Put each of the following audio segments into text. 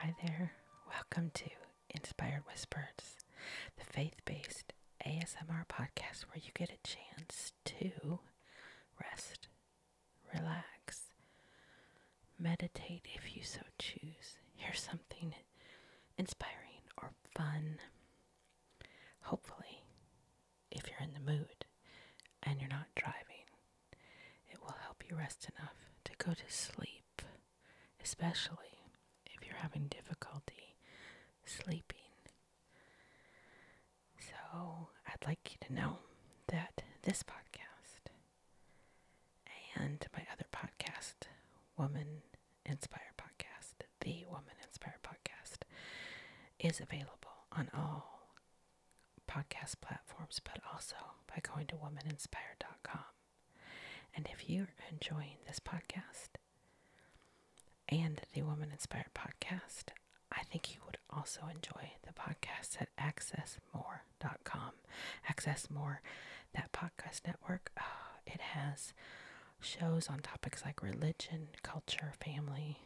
Hi there. Welcome to Inspired Whispers, the faith based ASMR podcast where you get a chance to rest, relax, meditate if you so choose, hear something inspiring or fun. Hopefully, if you're in the mood and you're not driving. It will help you rest enough to go to sleep, especially if you're having difficulty sleeping. So, I'd like you to know that this podcast and my other podcast, Woman Inspire Podcast, the Woman Inspired podcast is available on all podcast platforms, but also by going to womaninspired.com. And if you're enjoying this podcast and the Woman Inspired podcast, I think you would also enjoy the podcast at accessmore.com. Access More, that podcast network, uh, it has shows on topics like religion, culture, family,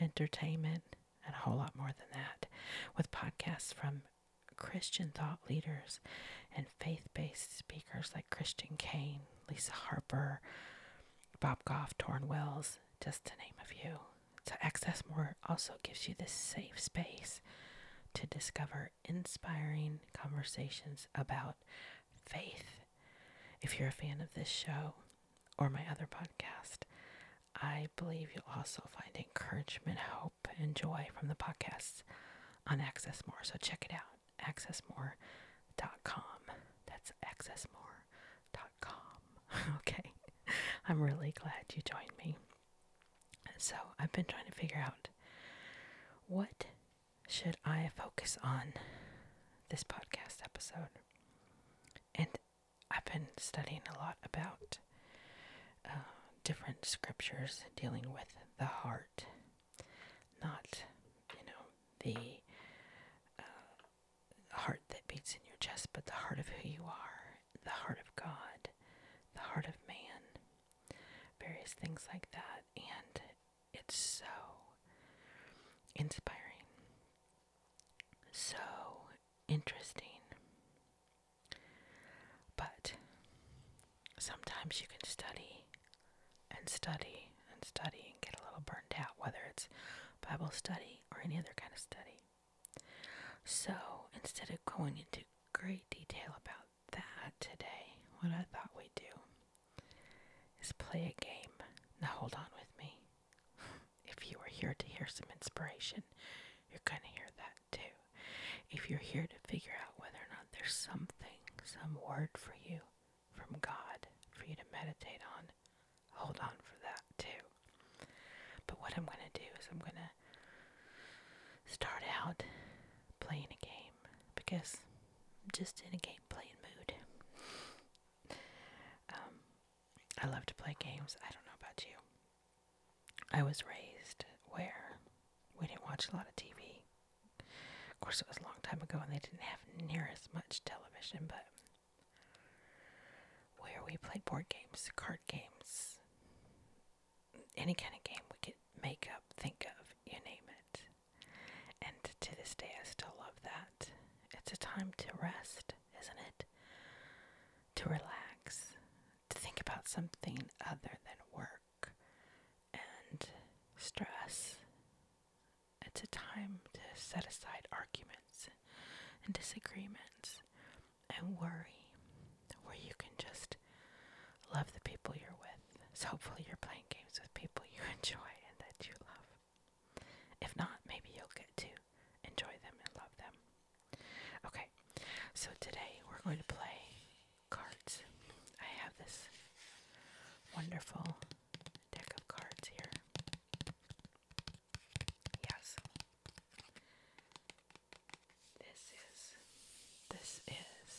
entertainment, and a whole lot more than that, with podcasts from Christian thought leaders and faith based speakers like Christian Kane, Lisa Harper, Bob Goff, Torn Wells, just to name a few. To Access More also gives you this safe space to discover inspiring conversations about faith. If you're a fan of this show or my other podcast, I believe you'll also find encouragement, hope, and joy from the podcasts on Access More. So check it out, accessmore.com. That's accessmore.com. okay. I'm really glad you joined me. So I've been trying to figure out what should I focus on this podcast episode? And I've been studying a lot about uh, different scriptures dealing with the heart, not, you know, the uh, heart that beats in your chest, but the heart of who you are, the heart of God, the heart of man, various things like that. And it's so inspiring, so interesting. But sometimes you can study and study and study and get a little burned out, whether it's Bible study or any other kind of study. So instead of going into great detail about that today, what I thought we'd do is play a game. Now hold on with me. If you are here to hear some inspiration, you're going to hear that too. If you're here to figure out whether or not there's something, some word for you from God for you to meditate on, hold on for that too. But what I'm going to do is I'm going to start out playing a game because I'm just in a game playing mood. Um, I love to play games. I don't know about you. I was raised where we didn't watch a lot of TV. Of course, it was a long time ago and they didn't have near as much television, but where we played board games, card games, any kind of game we could make up, think of, you name it. And to this day, I still love that. It's a time to rest, isn't it? To relax, to think about something other than work and stress. It's a time to set aside arguments and disagreements and worry, where you can just love the people you're with. So hopefully, you're playing games with people you enjoy and that you love. If not, maybe you'll get to enjoy them and love them. Okay, so today we're going to play cards. I have this wonderful deck of cards here. Yes. This is this is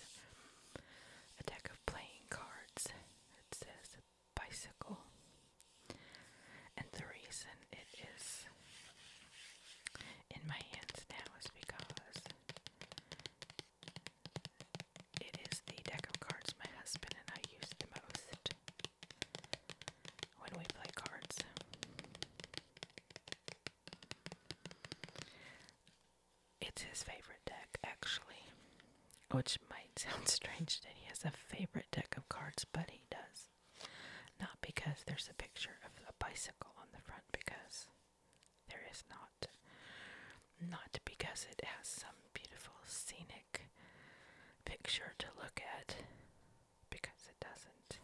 a deck of playing cards. It says bicycle. And the reason it is in my hands now is because it is the deck of cards my husband and I use the most when we play cards. It's his favorite deck, actually. Which might sound strange that he has a favorite deck of cards, but he does. Not because there's a picture of a bicycle on the front, because there is not. Not because it has some beautiful scenic picture to look at, because it doesn't.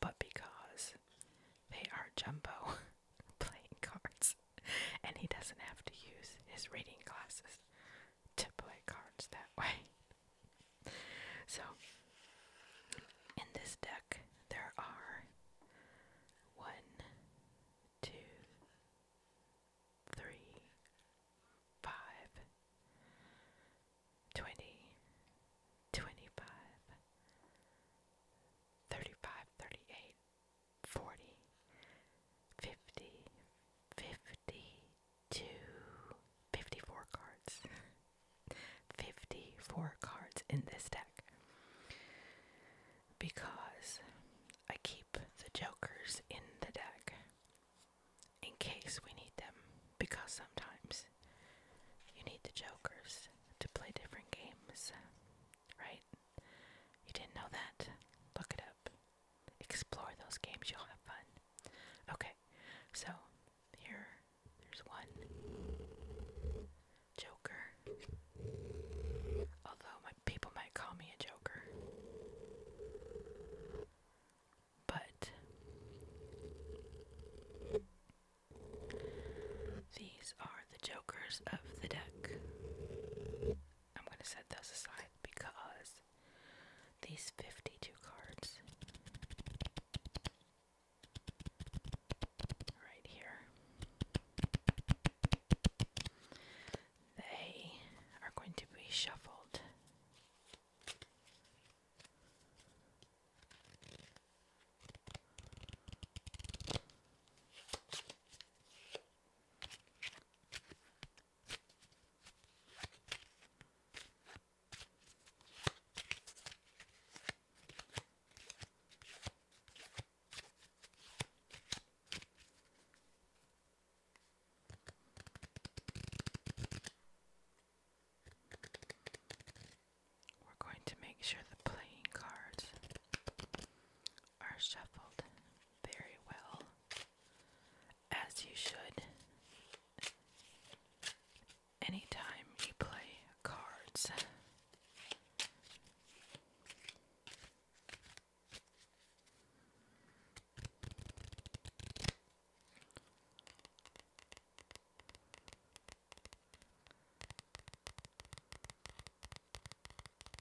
But because they are jumbo playing cards. and he doesn't have to use his reading glasses to play cards that way. So, in this deck, there are one, two, three, five, twenty, twenty-five, thirty-five, thirty-eight, 40, 50, cards. 54 cards in this deck. Because I keep the jokers in the deck in case we need them. Because sometimes you need the jokers to play different games, right? You didn't know that? Look it up explore those games. You'll have fun. Okay, so here, there's one Joker. Although my people might call me a Joker, but these are the Jokers of the deck. I'm going to set those aside because these 52 cards right here they are going to be shuffled we're going to make sure the playing cards are shuffled very well, as you should. Anytime you play cards,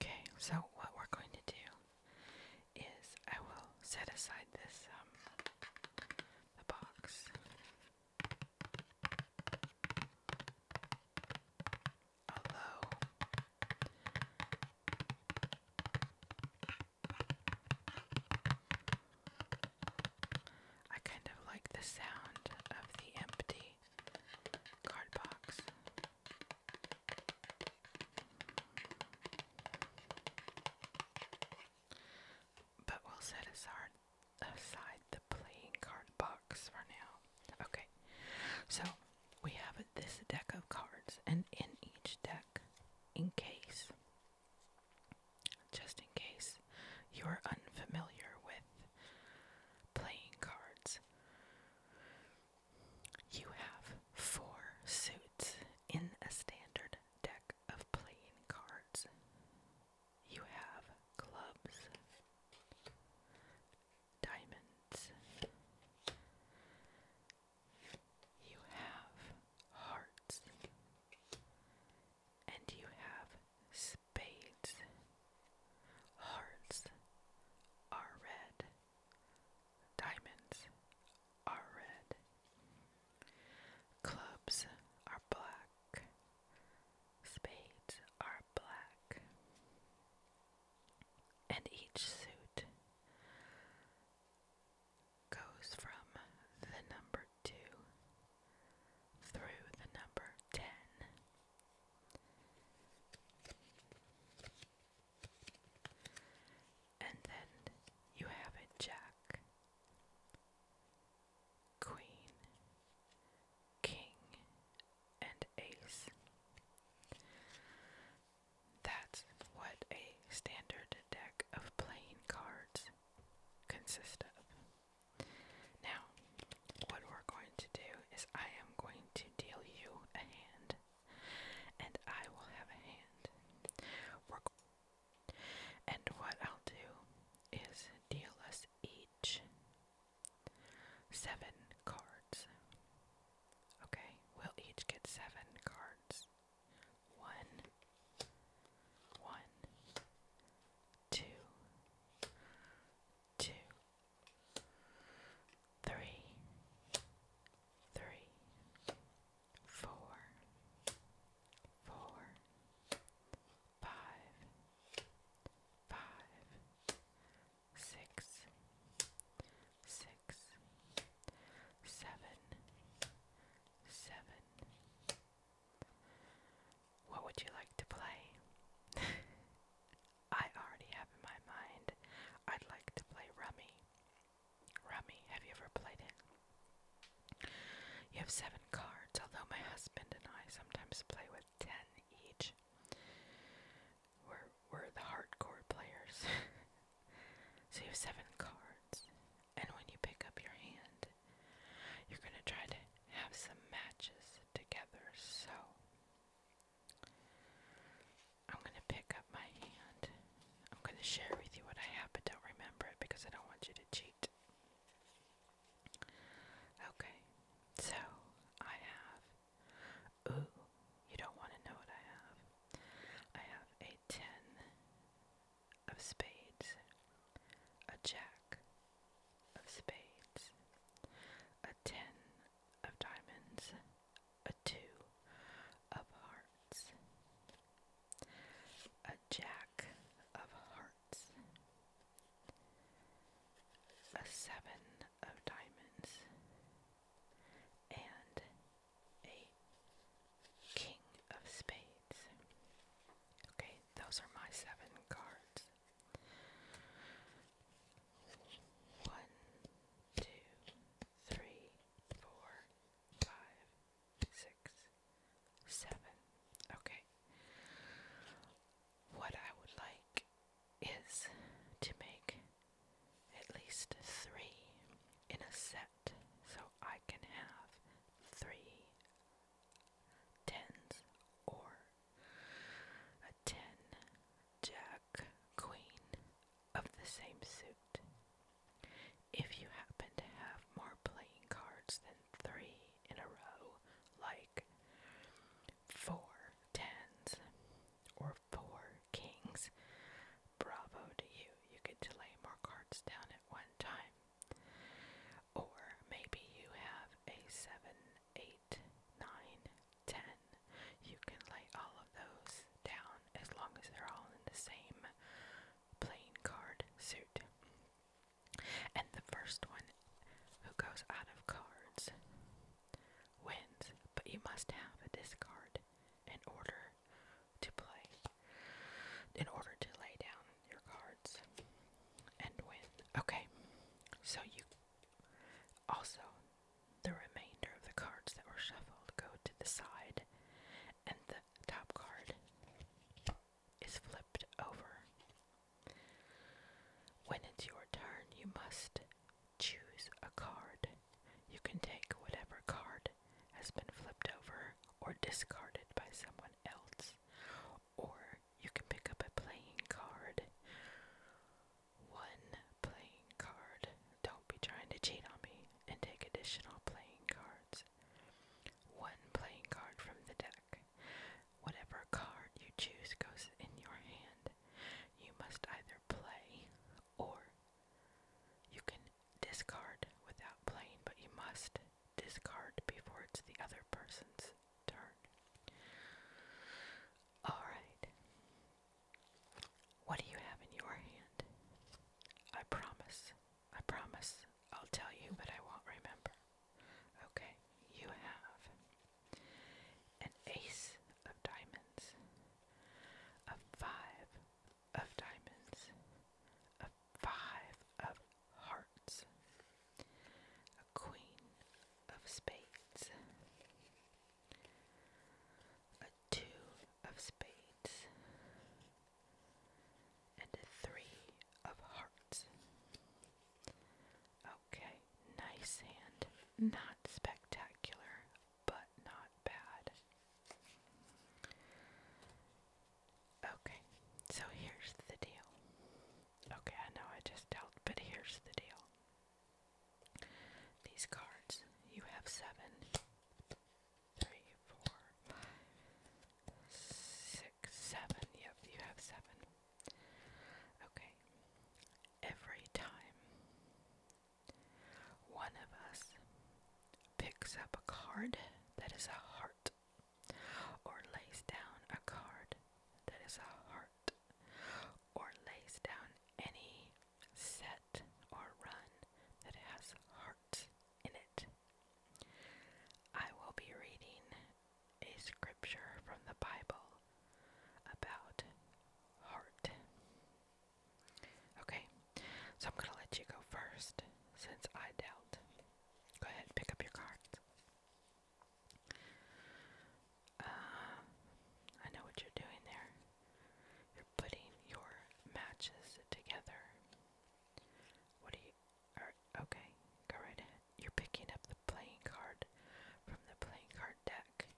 Okay, so what we're going to do is I will set aside this um, the box. I kind of like the sound of the empty card box. But we'll set aside, the playing card box for now. Okay, so we have this deck of cards, and in each deck, in case just in case you are unfamiliar with playing cards. You have four suits in a standard deck of playing cards. You have clubs, diamonds, you have hearts, and you have spades. Hearts are red. Diamonds are red. Clubs are black. Spades are black. And each suit goes from the number 2 through the number 10. And then you have a jack, queen, king, and ace. That's what a standard deck of playing cards consists of. Now, what we're going to do is I am going to deal you a hand, and I will have a hand. and what I'll do is deal us each seven cards. Okay, we'll each get seven cards. One, one, two, two, three, three, four, four, five, five, six, six, seven, seven. What would you like to play? I already have in my mind I'd like to play Rummy. Rummy, have you ever played it? You have seven cards, although my husband and I sometimes play with ten each. We're, we're the hardcore players. so you have seven cards, and when you pick up your hand, it. You're going to try to have some matches together, so I'm going to pick up my hand. I'm going to share with you what I have, but don't remember it because I don't want you to cheat. Okay, so I have. Ooh, you don't want to know what I have. I have a ten of spades, a jack, of spades, a ten of diamonds, a two of hearts, a jack of hearts, a seven of diamonds, and a king of spades. Okay, those are my seven cards. One, two, three, four, five, six, seven. Okay. What I would like is to make at least three in a set so I can have three tens or a ten jack queen of the same suit. If you happen to have more playing cards than three in a row, like four tens or four kings, bravo to you. You get to lay more cards down at one time. Or maybe you have a 7, You can lay all of those down as long as they're all in the same playing card suit. And the first one who goes out of cards wins, but you must have a discard in order to play, in order to lay down your cards and win. Okay, so you also, the remainder of the cards that were shuffled go to the side, and the top card is flipped over. When it's your turn, you must choose a card. You can take whatever card has been flipped over or discarded by someone else, or you can pick up a playing card. One playing card. Don't be trying to cheat on me and take additional playing cards. One playing card from the deck. Whatever card you choose goes in your hand. You must either play or you can discard without playing, but you must discard before it's the other person's turn. Alright. What do you have in your hand? I promise. I promise. I'll tell you, but I won't remember. Okay, you have an ace of diamonds, a five of diamonds, a five of hearts, Queen of Spades, a Two of Spades, and a Three of Hearts. Okay, nice hand. Not spectacular, but not bad. Okay, so here's the deal. Okay, I know I just dealt, but here's the deal. These cards, you have seven, three, four, five, six, seven. Yep, you have seven. Okay. Every time one of us picks up a card that is a heart, or lays down a card that is a heart, or lays down any set or run that has hearts in it. I will be reading a scripture from the Bible about heart. Okay, so I'm going to let you go first since I dealt. Go ahead, pick up your cards. Uh, I know what you're doing there. You're putting your matches together. What are you? Are, okay, go right ahead. You're picking up the playing card from the playing card deck.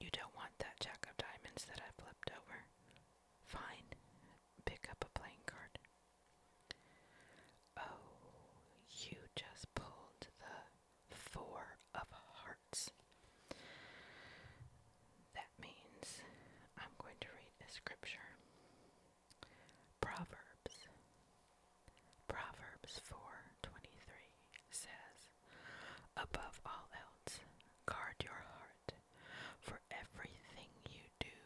You don't want that jack of diamonds that I flipped over. Fine, pick up a playing card. Oh, you just pulled the Four of Hearts. That means I'm going to read a scripture. Proverbs. Proverbs 4:23 says, "Above all else, guard your heart, for everything you do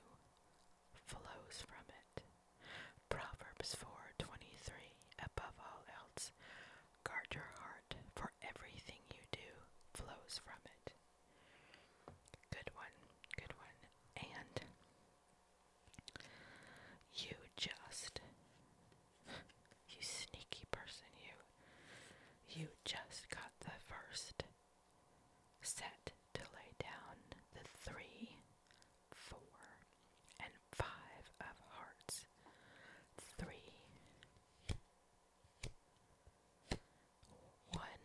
flows from it." Proverbs 4:23 Above all else, guard your heart, for everything you do flows from it. Good one, good one. And you just you sneaky person you. You just got the first set to lay down the three four, and five of hearts, three, one,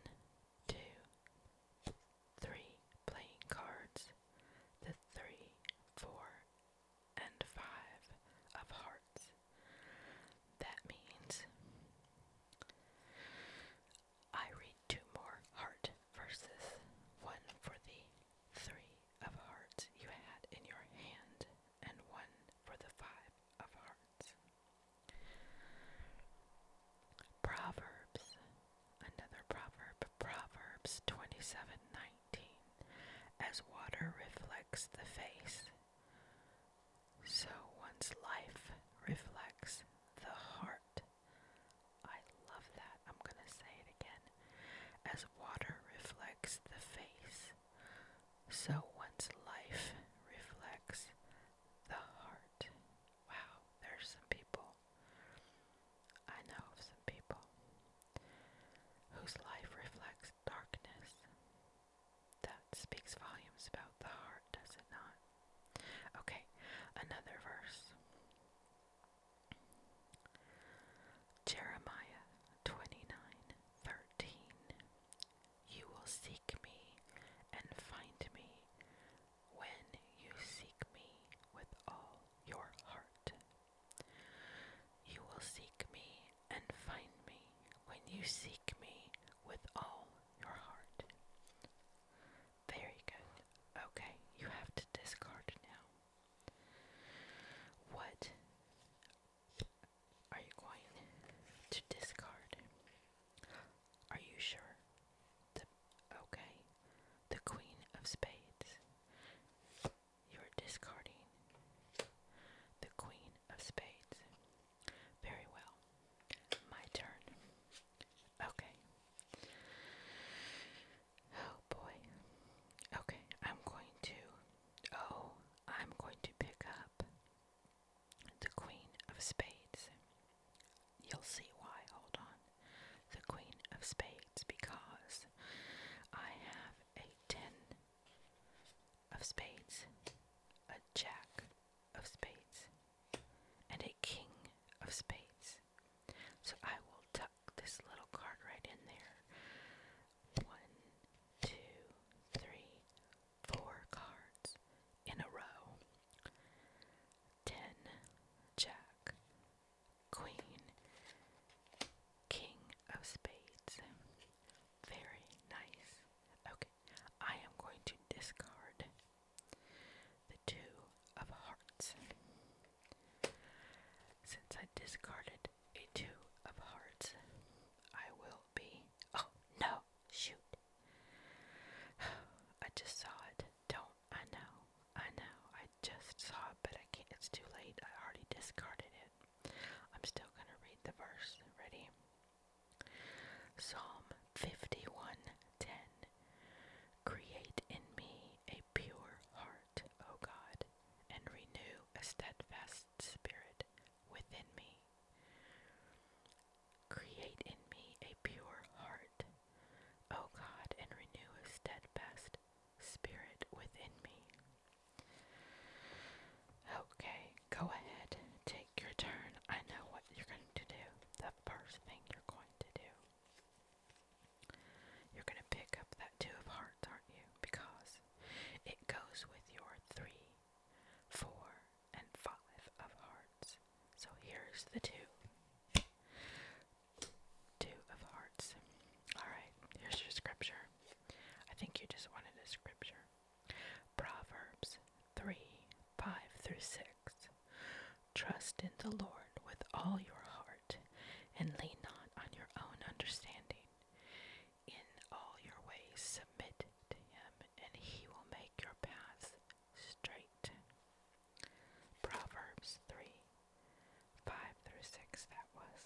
two, three playing cards, the three, four, and five of hearts. That means I read two more heart verses. One for the three of hearts you had in your hand, and one for the five of hearts. Proverbs, another proverb, Proverbs 27:19. As water reflects the face, so one's life reflects the heart. I love that. I'm going to say it again. As water reflects the face, so one's life reflects the heart. Wow, there's some people. I know of some people whose life reflects darkness. That speaks volumes about the heart, does it not? Okay, another verse. Jeremiah 29:13 You will seek me and find me when you seek me with all your heart. You will seek me and find me when you seek me with all your heart. Very good. Okay, you have to discard now. What are you going to discard? Are you sure? okay, the Queen of Spades. You're discarding the Queen of Spades. Very well. My turn. Okay. Oh boy. Okay, I'm going to. Oh, I'm going to pick up the Queen of Spades. You'll see why. Hold on. The Queen of Spades, because I have a ten of spades, a jack of spades, and a king of spades. So I will tuck this little card right in there. One, two, three, four cards in a row. Ten, Jack, Queen, King of Spades. Very nice. Okay, I am going to discard the Two of Hearts. Since I discarded a Two of Hearts, I will be. Oh, no! Shoot! I just saw it. Don't. I know. I know. I just saw it, but I can't. It's too late. I already discarded it. I'm still going to read the verse. Ready? Psalm 51 Create in me a pure heart, O God, and renew a steadfast spirit within me. Create in me a pure heart, O God, and renew a steadfast spirit within me. Okay, go ahead, take your turn. I know what you're going to do. The first thing you're going to do you're going to pick up that Two of Hearts, aren't you? Because it goes with your three, four, and five of hearts. So here's the two. Two of hearts. Alright, here's your scripture. I think you just wanted a scripture. Proverbs 3 5 through 6. Trust in the Lord with all your heart, and lean not on your own understanding. In all your ways, submit to him, and he will make your paths straight. Proverbs 3 5 through 6, that was.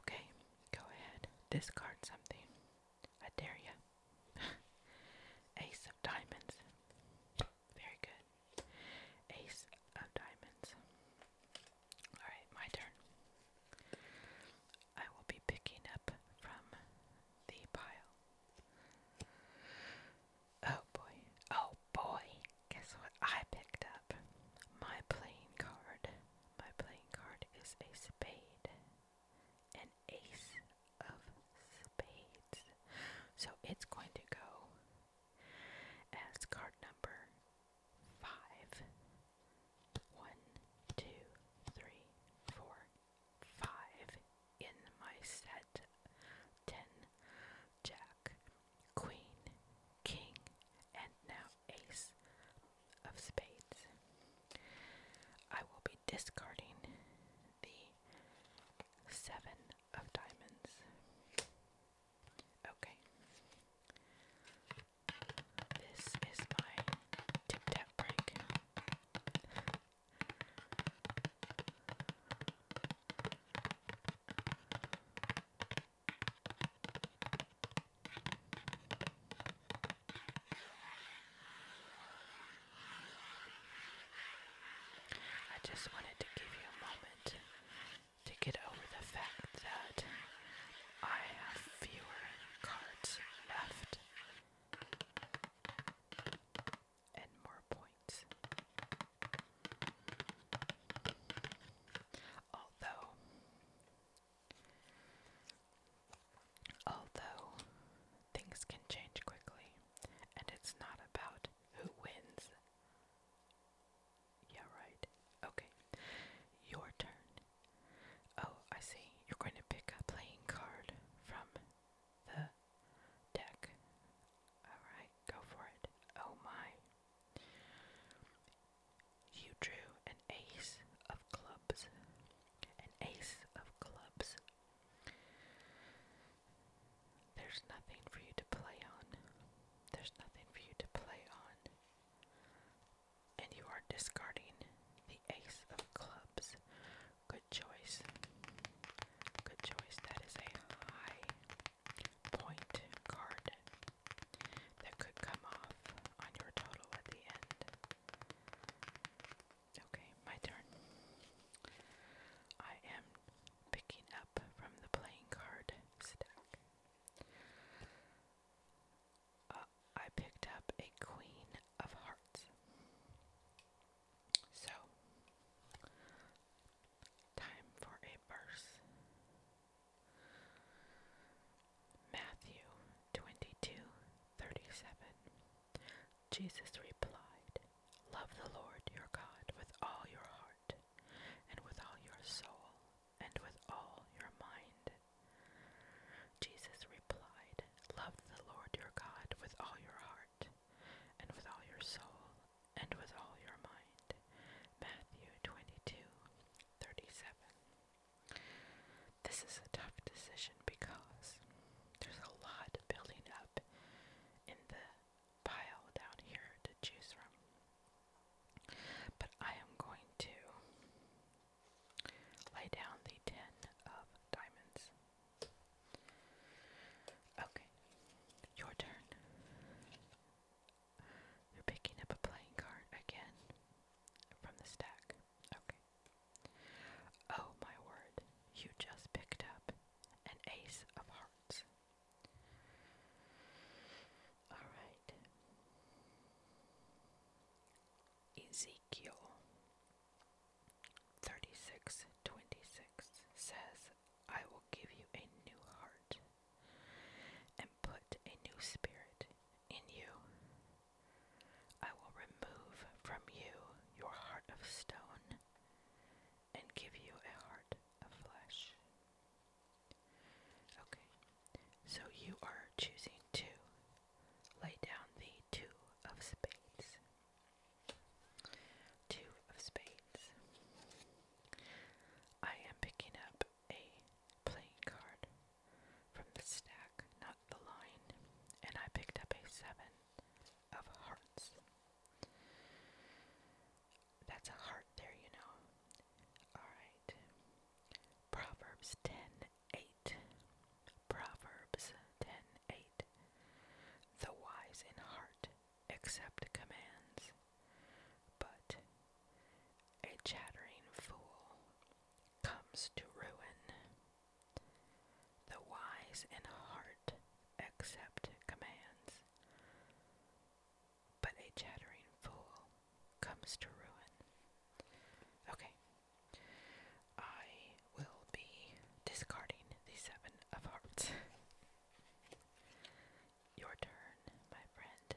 Okay, go ahead, discard something. I dare you. Ace of Diamonds. Very good. Ace of diamonds. Alright, my turn. I will be picking up from the pile. Oh boy. Oh boy. Guess what I picked up? My playing card. My playing card is a spade. An ace of spades. So it's going to go as card number five. One, two, in my set. Ten, Jack, Queen, King, and now Ace of Spades. I will be discarding the seven of diamonds. Okay. This is my tip tap break. I just wanted to give you a moment to get over the fact that I have fewer cards left and more points. Although, although things can change quickly, and it's not about who wins yeah, right. Okay. Your turn. Oh, I see. You're going to pick a playing card from the deck. Alright, go for it. Oh my. You drew an ace of clubs. An ace of clubs there's nothing for you to play on. There's nothing for you to play on. And you are discarding the ace of clubs. Good choice. Good choice. That is a high point card that could come off on your total at the end. Okay, my turn. I am picking up from the playing card stack. Uh, I picked up a Queen of Hearts. So, time for a verse. Matthew 22 Jesus replied, Love the Lord your God with all your heart, and with all your soul, and with all your mind. Jesus replied, Love the Lord your God with all your heart, and with all your soul, and with all your mind. Matthew 22 This is a tough decision because there's a lot building up in the pile down here to choose from. But I am going to lay down the ten of diamonds. Okay, your turn. You're picking up a playing card again from the stack. Okay. Oh my word, you just picked up an ace of hearts. All right. Ezekiel 36:26 says, "I will give you a new heart and put a new spirit in you. I will remove from you your heart of stone and give you a heart flesh. Okay, so you are choosing to lay down the two of spades. Two of spades. I am picking up a playing card from the stack, not the line, and I picked up a seven of hearts. That's a heart there, you know. Alright. Proverbs 10 Proverbs 10 The wise in heart accept commands, but a chattering fool comes to ruin. The wise in heart accept commands, but a chattering fool comes to ruin. Okay. I will be discarding the Seven of Hearts. Your turn, my friend.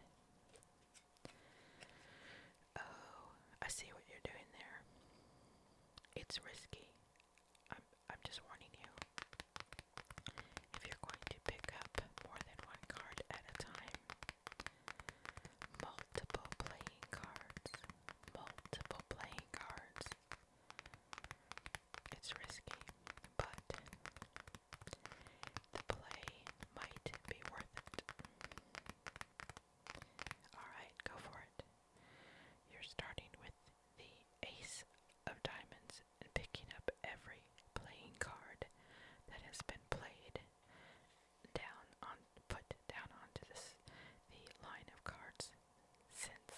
Oh, I see what you're doing there. It's risky, I'm I'm just warning you. If you're going to pick up more than one card at a time, multiple playing cards, multiple playing cards. It's risky, but the play might be worth it. Alright, go for it. You're starting with the ace of diamonds and picking up every playing card that has been played down on put down onto this the line of cards since.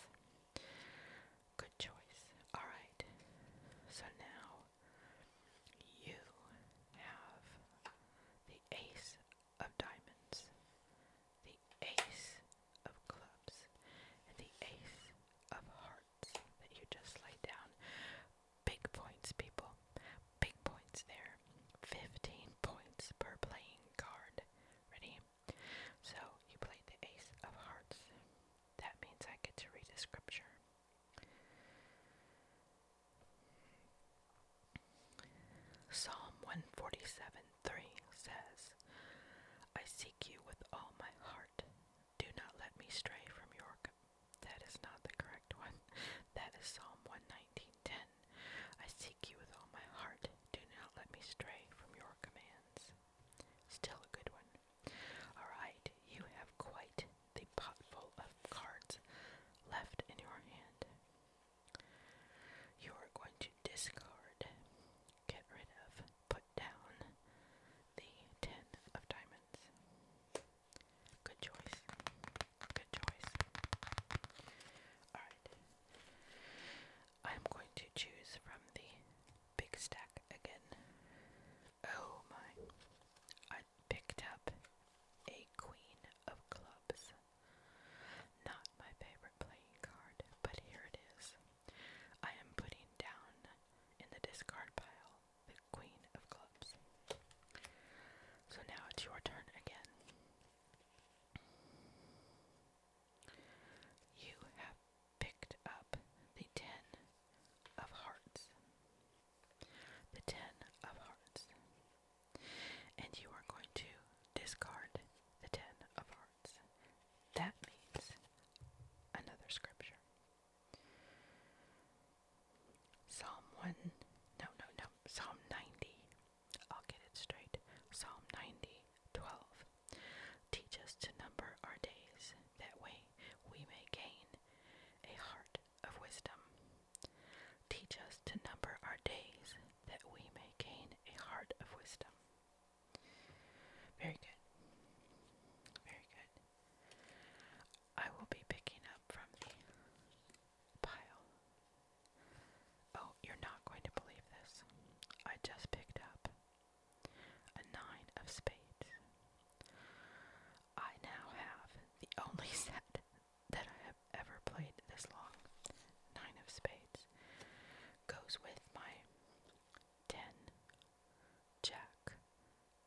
Good choice. Alright. So now you have the ace of diamonds, the ace of clubs and the ace of hearts that you just laid down. Big points, people. Big points there. 15 points per playing card. Ready? So you played the ace of hearts. That means I get to read a scripture. Psalm 147 3 says, I see seek you with all my heart. Do not let me stray from your. That is not the correct one. That is Psalm 119:10. I seek you with all my heart. Do not let me stray from your commands. Still a good one. All right, you have quite the pot of cards left in your hand. You are going to discard, get rid of, down the ten of diamonds. Good choice. Good choice. Alright. I'm going to choose from the big stack again. Oh my. I picked up a queen of clubs. Not my favorite playing card, but here it is. I am putting down in the discard pile the Queen of Clubs. So now it's your turn again. You have picked up the Ten of Hearts. The Ten of Hearts. And you are going to discard the Ten of Hearts. That means another scripture. Psalm 1, no, no, no, Psalm 90. I'll get it straight. Psalm 90, Teach us to number our days, that way we may gain a heart of wisdom. Teach us to number our days, that we may gain a heart of wisdom. Very good. Very good. I will be picking up from the pile. Oh, you're not going to believe this. I just picked up a nine of spades. I now have the only set that I have ever played this long. Nine of spades goes with my ten Jack,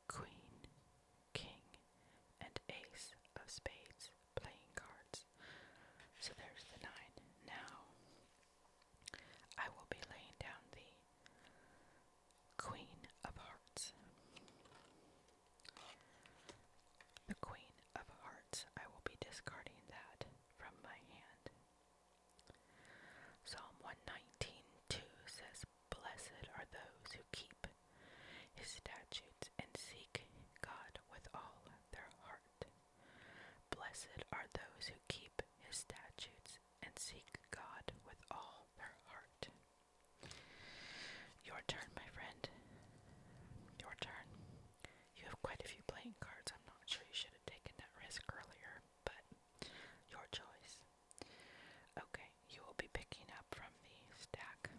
Queen, King, and Ace of Spades playing cards. So there's the nine. Now, I will be laying down the Queen of Hearts. The Queen of Hearts, I will be discarding that from my hand Psalm one nineteen two says, Blessed are those who keep his statutes and seek God with all their heart. Blessed are those who keep his statutes and seek God with all their heart. Your turn, my friend. Your turn. You have quite a few playing cards. I'm not sure you should have taken that risk earlier, but your choice. Okay, you will be picking up from the stack.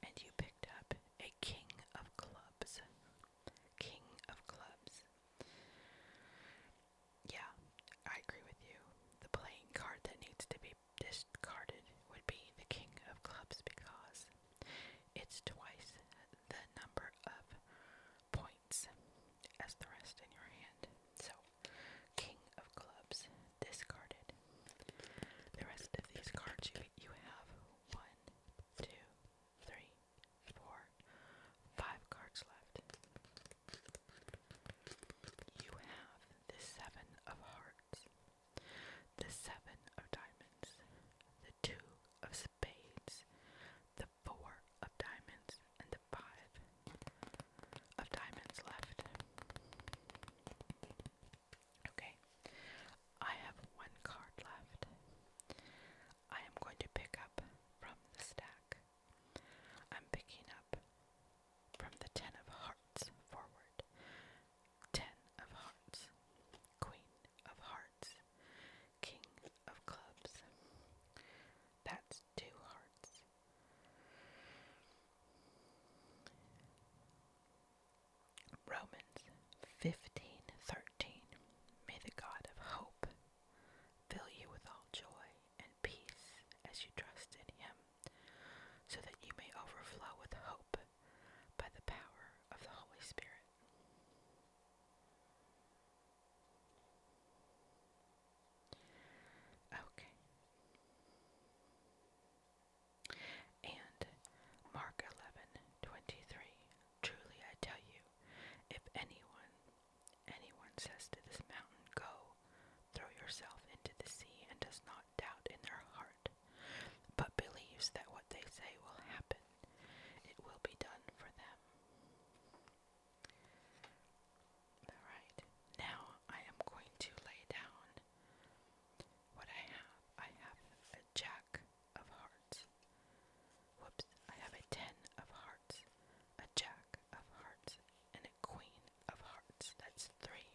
And you picked up a king of clubs. King of clubs. Yeah, I agree with you. The playing card that needs to be discarded would be the king of clubs because it's twice the number of points as the rest in your hand. So, King of Clubs discarded. The rest of these cards you, you have one, two, three, four, five cards left. You have the Seven of Hearts, the Seven of Diamonds, the Two of Spades, the four of diamonds and the five of diamonds left. Okay, I have one card left. I am going to pick up from the stack. I'm picking up from the Ten of Hearts forward. Ten of Hearts. Queen of Hearts. King of clubs. That's two hearts. Romans 15:13 May the God of hope fill you with all joy and peace as you trust in him so that you may overflow with hope by the power of the Holy Spirit. Okay. And Mark 11:23 Truly I tell you if anyone anyone says to this mountain go throw yourself into the sea and does not doubt in their heart but believes that what they say will happen it will be done for them. Alright, now I am going to lay down what I have. I have a jack of hearts. Whoops, I have a ten of hearts, a jack of hearts, and a queen of hearts. That's three.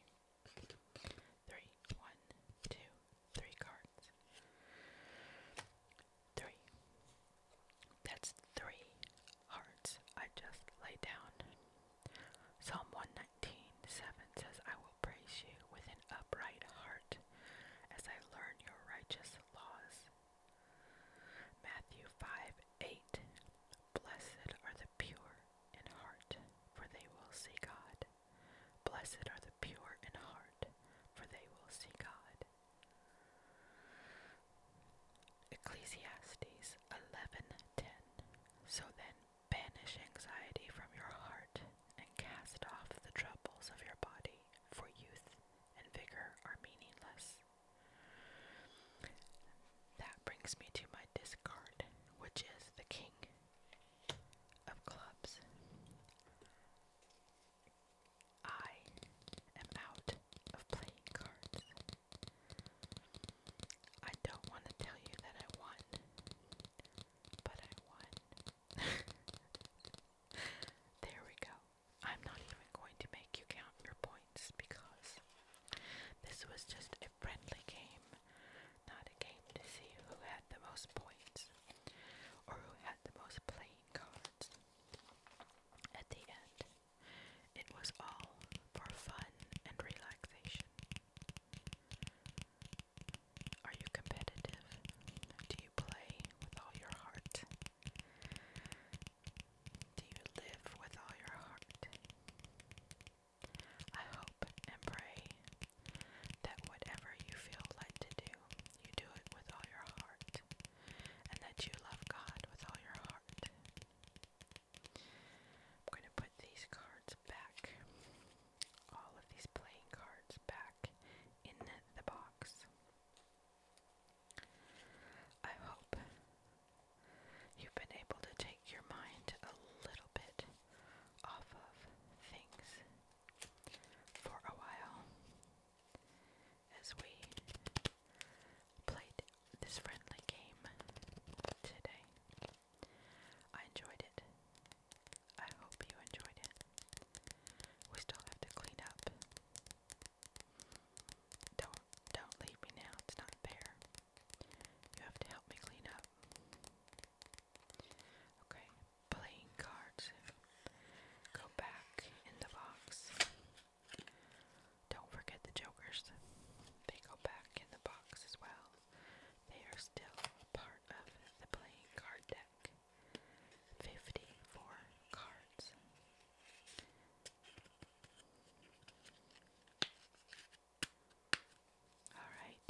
Three, cards. Three. That's three hearts I just laid down. Psalm 119, 7 says, I will praise you with an upright heart as I learn your righteous laws. Matthew 5, 8, Blessed are the pure in heart, for they will see God. Blessed are the pure in heart, for they will see God. Ecclesiastes 11:10 So then banish anxiety from your heart and cast off the troubles of your body for youth and vigor are meaningless. That brings me to my discard, which is the king of clubs. I am out of playing cards. I don't want to tell you that I won, but I won. there we go. I'm not even going to make you count your points because this was just a friendly game, not a game to see who had the most points or who had the most playing cards. At the end, it was all for fun and relaxation. Are you competitive? Do you play with all your heart? Do you live with all your heart? I hope and pray that whatever you feel led to do, you do it with all your heart and that you love God with all your heart. I'm going to put these cards back, all of these playing cards back in the box. I hope you've been able to take your mind a little bit off of things for a while as we played this friendly game today. I enjoyed it. I hope you enjoyed it. We still have to clean up. Don't don't leave me now. It's not fair. You have to help me clean up. Okay, playing cards. Go back in the box. Don't forget the jokers. They go back in the box as well. They are still part of the playing card deck. 54 cards. Alright.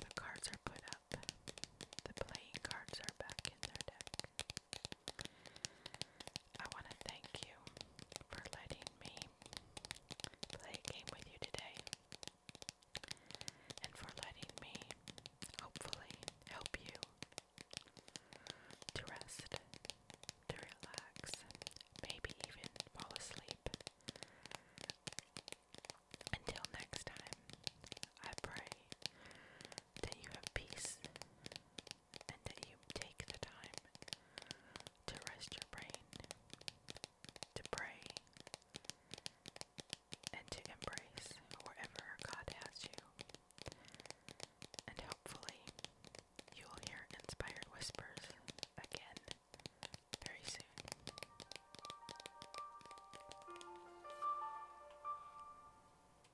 The cards are put up. The playing cards are back in their deck. I want to thank you for letting me play game with you today and for letting me hopefully help you to rest, to relax, maybe even fall asleep. Until next time, I pray that you have peace and that you take the time to rest your brain, to pray, and to embrace wherever God has you. And hopefully, you will hear inspired whispers again very soon.